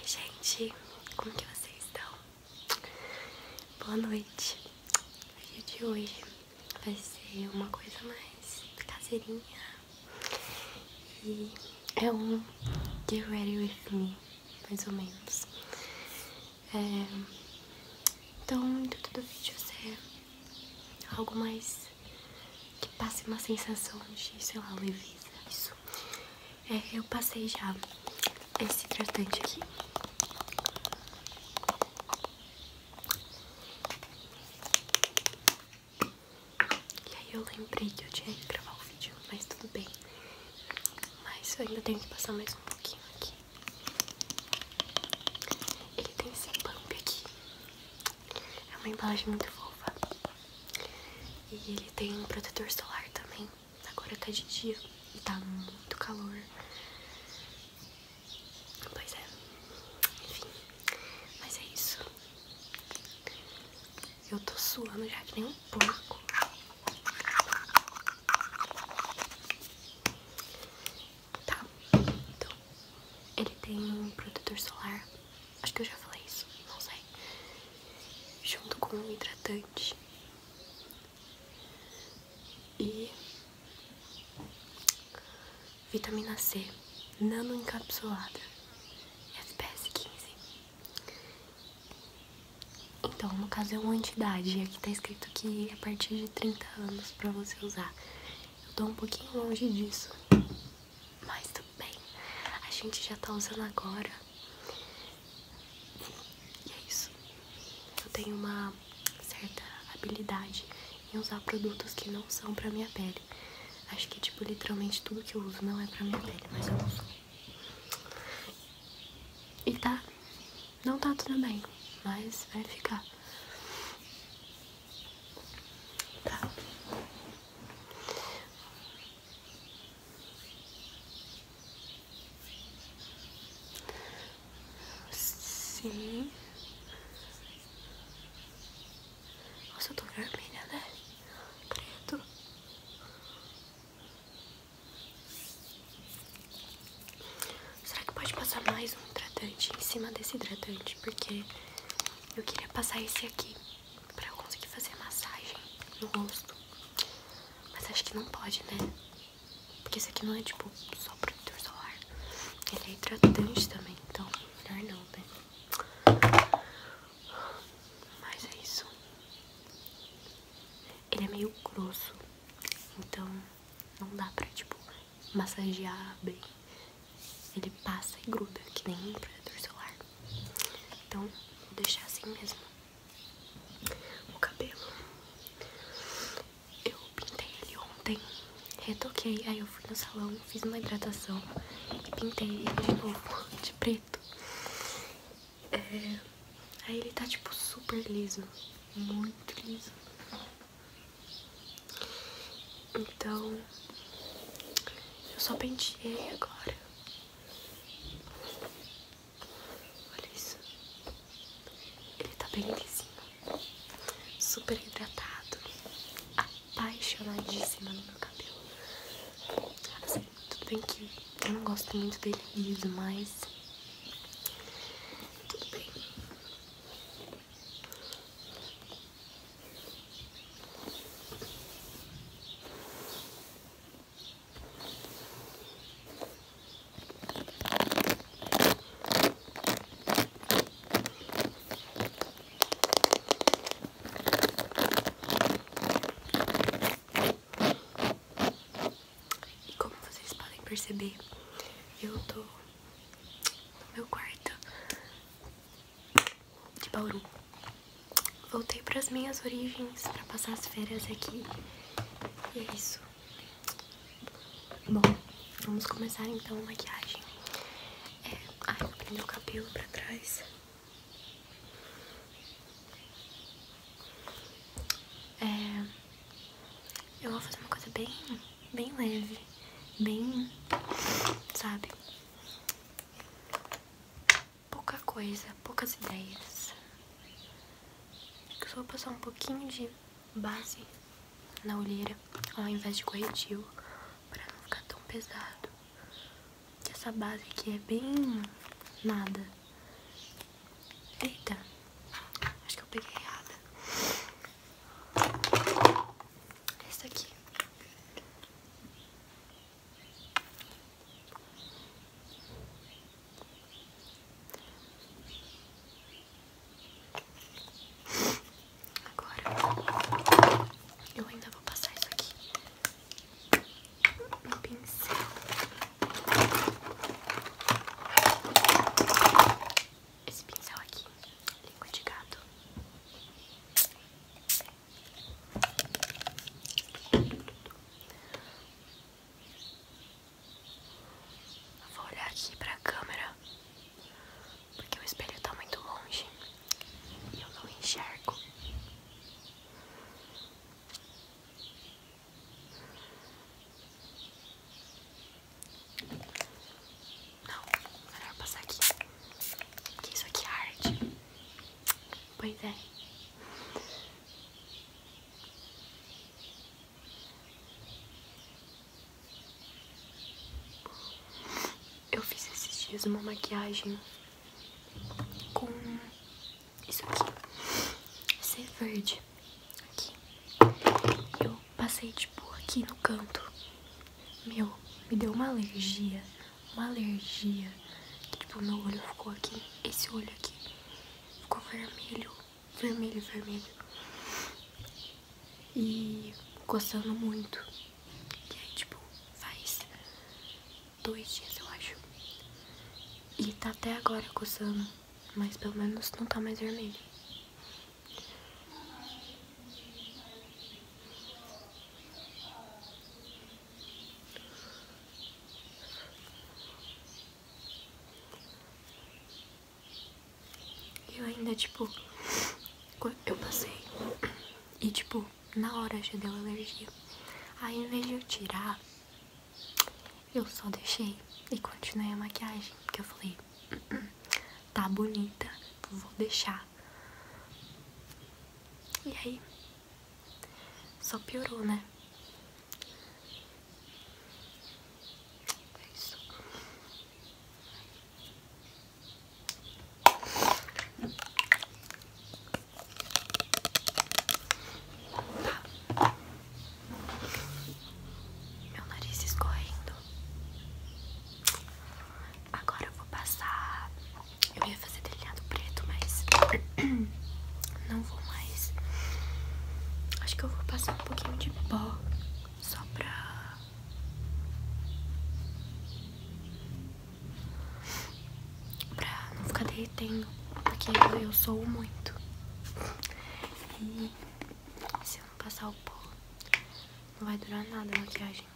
Oi gente, como que vocês estão? Boa noite. O vídeo de hoje vai ser uma coisa mais caseirinha e é um Get Ready With Me, mais ou menos. É, então, o intuito do vídeo é algo mais que passe uma sensação de, sei lá, leveza. Isso. É, eu passei já esse hidratante aqui. E aí eu lembrei que eu tinha que gravar o vídeo, mas tudo bem. Mas eu ainda tenho que passar mais um pouquinho aqui. Ele tem esse pump aqui. É uma embalagem muito fofa. E ele tem um protetor solar também. Agora tá de dia e tá muito calor. Pois é. Enfim. Mas é isso. Eu tô suando já que nem um pouco Tá. Então, ele tem um protetor solar. Acho que eu já falei isso, não sei. Junto com um hidratante. E vitamina C nano encapsulada FPS 15. Então, no caso é uma entidade, aqui tá escrito que é a partir de 30 anos para você usar. Eu tô um pouquinho longe disso mas tudo bem, a gente já tá usando agora. E é isso. Eu tenho uma certa habilidade em usar produtos que não são pra minha pele. Acho que, tipo, literalmente tudo que eu uso não é pra minha pele, mas eu uso. E tá, não tá tudo bem, mas vai ficar. Tá. Sim. Nossa, eu tô vermelha, né? Preto. Será que pode passar mais um hidratante em cima desse hidratante? Porque eu queria passar esse aqui pra eu conseguir fazer massagem no rosto. Mas acho que não pode, né? Porque esse aqui não é tipo só protetor solar. Ele é hidratante também, então melhor não, né? Mas é isso. Ele é meio grosso, então não dá pra tipo massagear bem. Ele passa e gruda, que nem um protetor solar. Então, vou deixar assim mesmo. O cabelo eu pintei ele ontem, retoquei, aí eu fui no salão, fiz uma hidratação e pintei ele de novo de preto. É, aí ele tá tipo super liso, muito liso. Então, eu só penteei agora Olha isso. Ele tá bem lisinho. Super hidratado. Apaixonadíssima no meu cabelo. Assim, tudo bem que eu não gosto muito dele mas... Tudo bem. E como vocês podem perceber, eu estou no meu quarto de Bauru. Voltei para as minhas origens para passar as férias aqui. E é isso. Bom, vamos começar então a maquiagem. É, ai, eu prendi o cabelo para trás. É, eu vou fazer uma coisa bem, bem leve, bem, sabe? pouca coisa, poucas ideias. Eu só vou passar um pouquinho de base na olheira ao invés de corretivo para não ficar tão pesado. Que essa base aqui é bem nada. Eita, acho que eu peguei errada. Essa aqui Agora eu ainda vou passar isso aqui no pincel. Esse pincel aqui, língua de gato vou olhar aqui pra câmera porque o espelho está muito longe e eu não enxergo. Não, melhor passar aqui. Porque isso aqui é arte. boa ideia Eu fiz esses dias uma maquiagem com isso aqui. Esse é verde. Aqui. Eu passei tipo aqui no canto. Meu, me deu uma alergia. Uma alergia. tipo, meu olho ficou aqui. Esse olho aqui. Ficou vermelho. Vermelho, vermelho. E coçando muito. E aí, tipo, faz dois dias, eu acho. E tá até agora coçando. Mas pelo menos não tá mais vermelho. Eu ainda, tipo, eu passei e, tipo, na hora já deu alergia. Aí, em vez de eu tirar, eu só deixei e continuei a maquiagem, porque eu falei, hum, hum, tá bonita, vou deixar. E aí? Só piorou, né? É tá. Meu nariz escorrendo. Agora eu vou passar. Eu ia fazer delineado preto, mas não vou mais. Acho que eu vou passar um pouquinho de pó só pra. pra não ficar derretendo. Porque eu, eu sou muito. E se eu não passar o pó, não vai durar nada a maquiagem.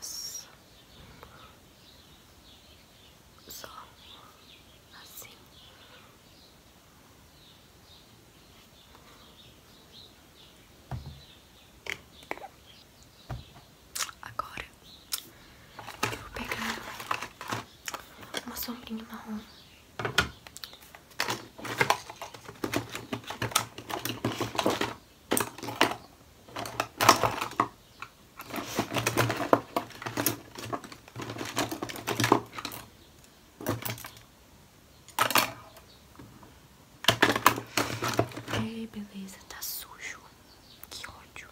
Só assim. Agora eu vou pegar uma sombrinha marrom. Ei, beleza, tá sujo. Que ódio.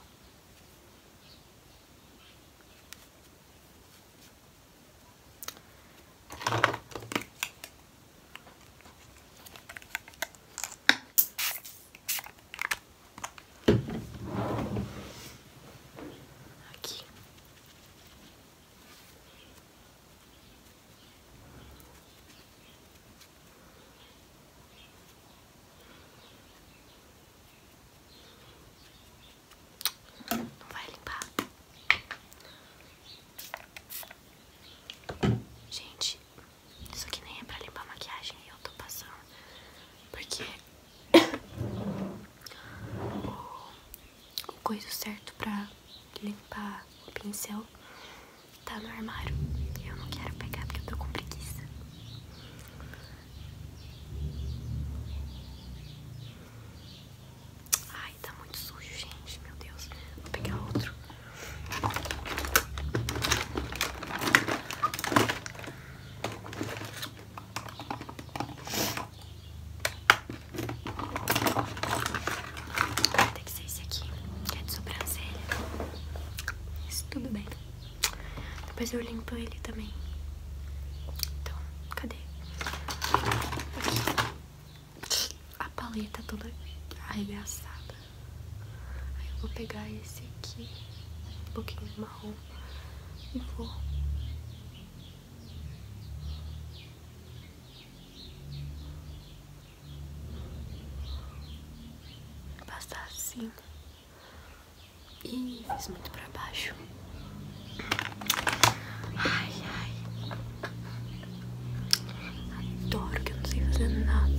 Aqui. Não vai limpar. Gente, isso aqui nem é pra limpar maquiagem eu tô passando. Porque o, o coisa certo pra limpar o pincel tá no armário. Eu não quero pegar porque eu tô com preguiça. Ai, tá muito sujo, gente. Meu Deus. Vou pegar outro. Tem que ser esse aqui, que é de sobrancelha. Isso tudo bem. Depois eu limpo ele também. Então, cadê? A paleta toda arregaçada. eu vou pegar esse aqui, um pouquinho marrom, e vou passar assim e fez muito pra baixo. Ai, ai. Adoro que eu não sei fazer nada.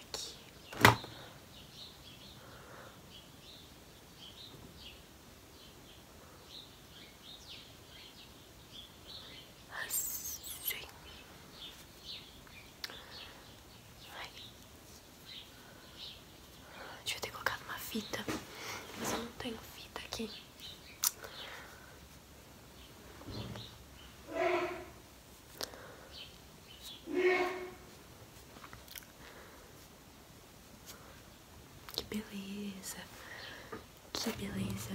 Aqui. Assim. Ai. Devia ter colocado uma fita, mas eu não tenho fita aqui. Que beleza, que beleza.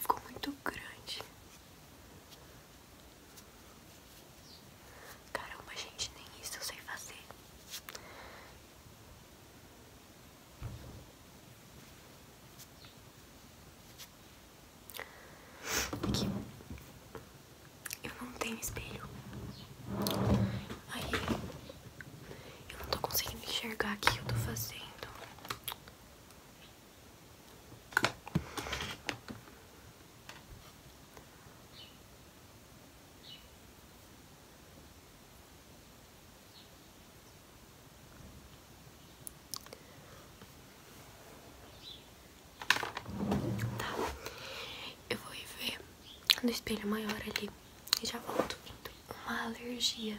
Ficou muito grande. Caramba, gente, nem isso eu sei fazer. Aqui. Eu não tenho espelho. Aí eu não tô conseguindo enxergar o que eu tô fazendo. Tá, eu vou ir ver no espelho maior ali e já volto. Uma alergia.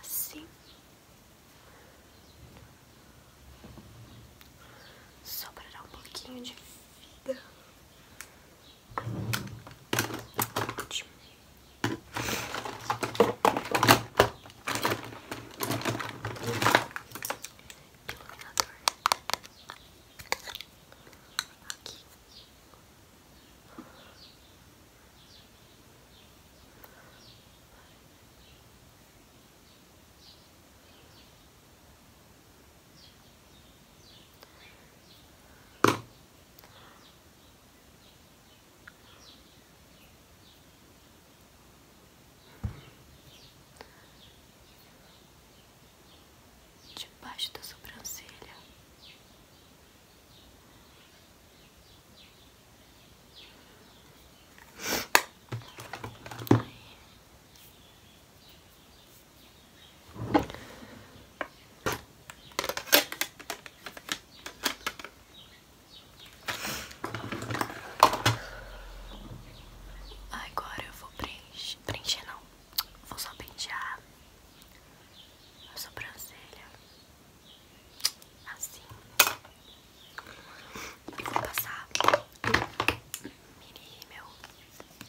assim, só para dar um pouquinho de vida. Ótimo. Iluminador aqui debaixo da sobrancelha Agora eu vou preencher, preencher não, vou só pentear a sobrancelha assim. vou passar mini rímel. Aqui.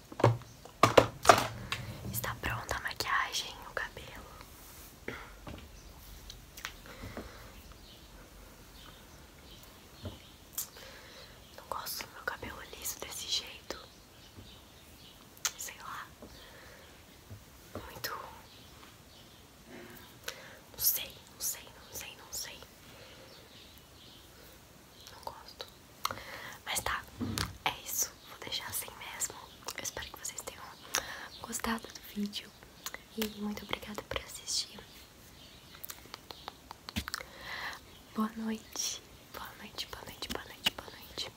Está pronta a maquiagem, o cabelo. Não gosto do meu cabelo liso desse jeito. Sei lá. Muito. Não sei, não sei, não sei, não sei não gosto. Mas tá, é isso. Vou deixar assim mesmo. Eu espero que vocês tenham gostado do vídeo. E muito obrigada por assistir. Boa noite. Boa noite, boa noite, boa noite, boa noite.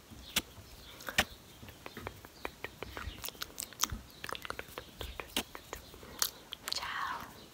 Tchau.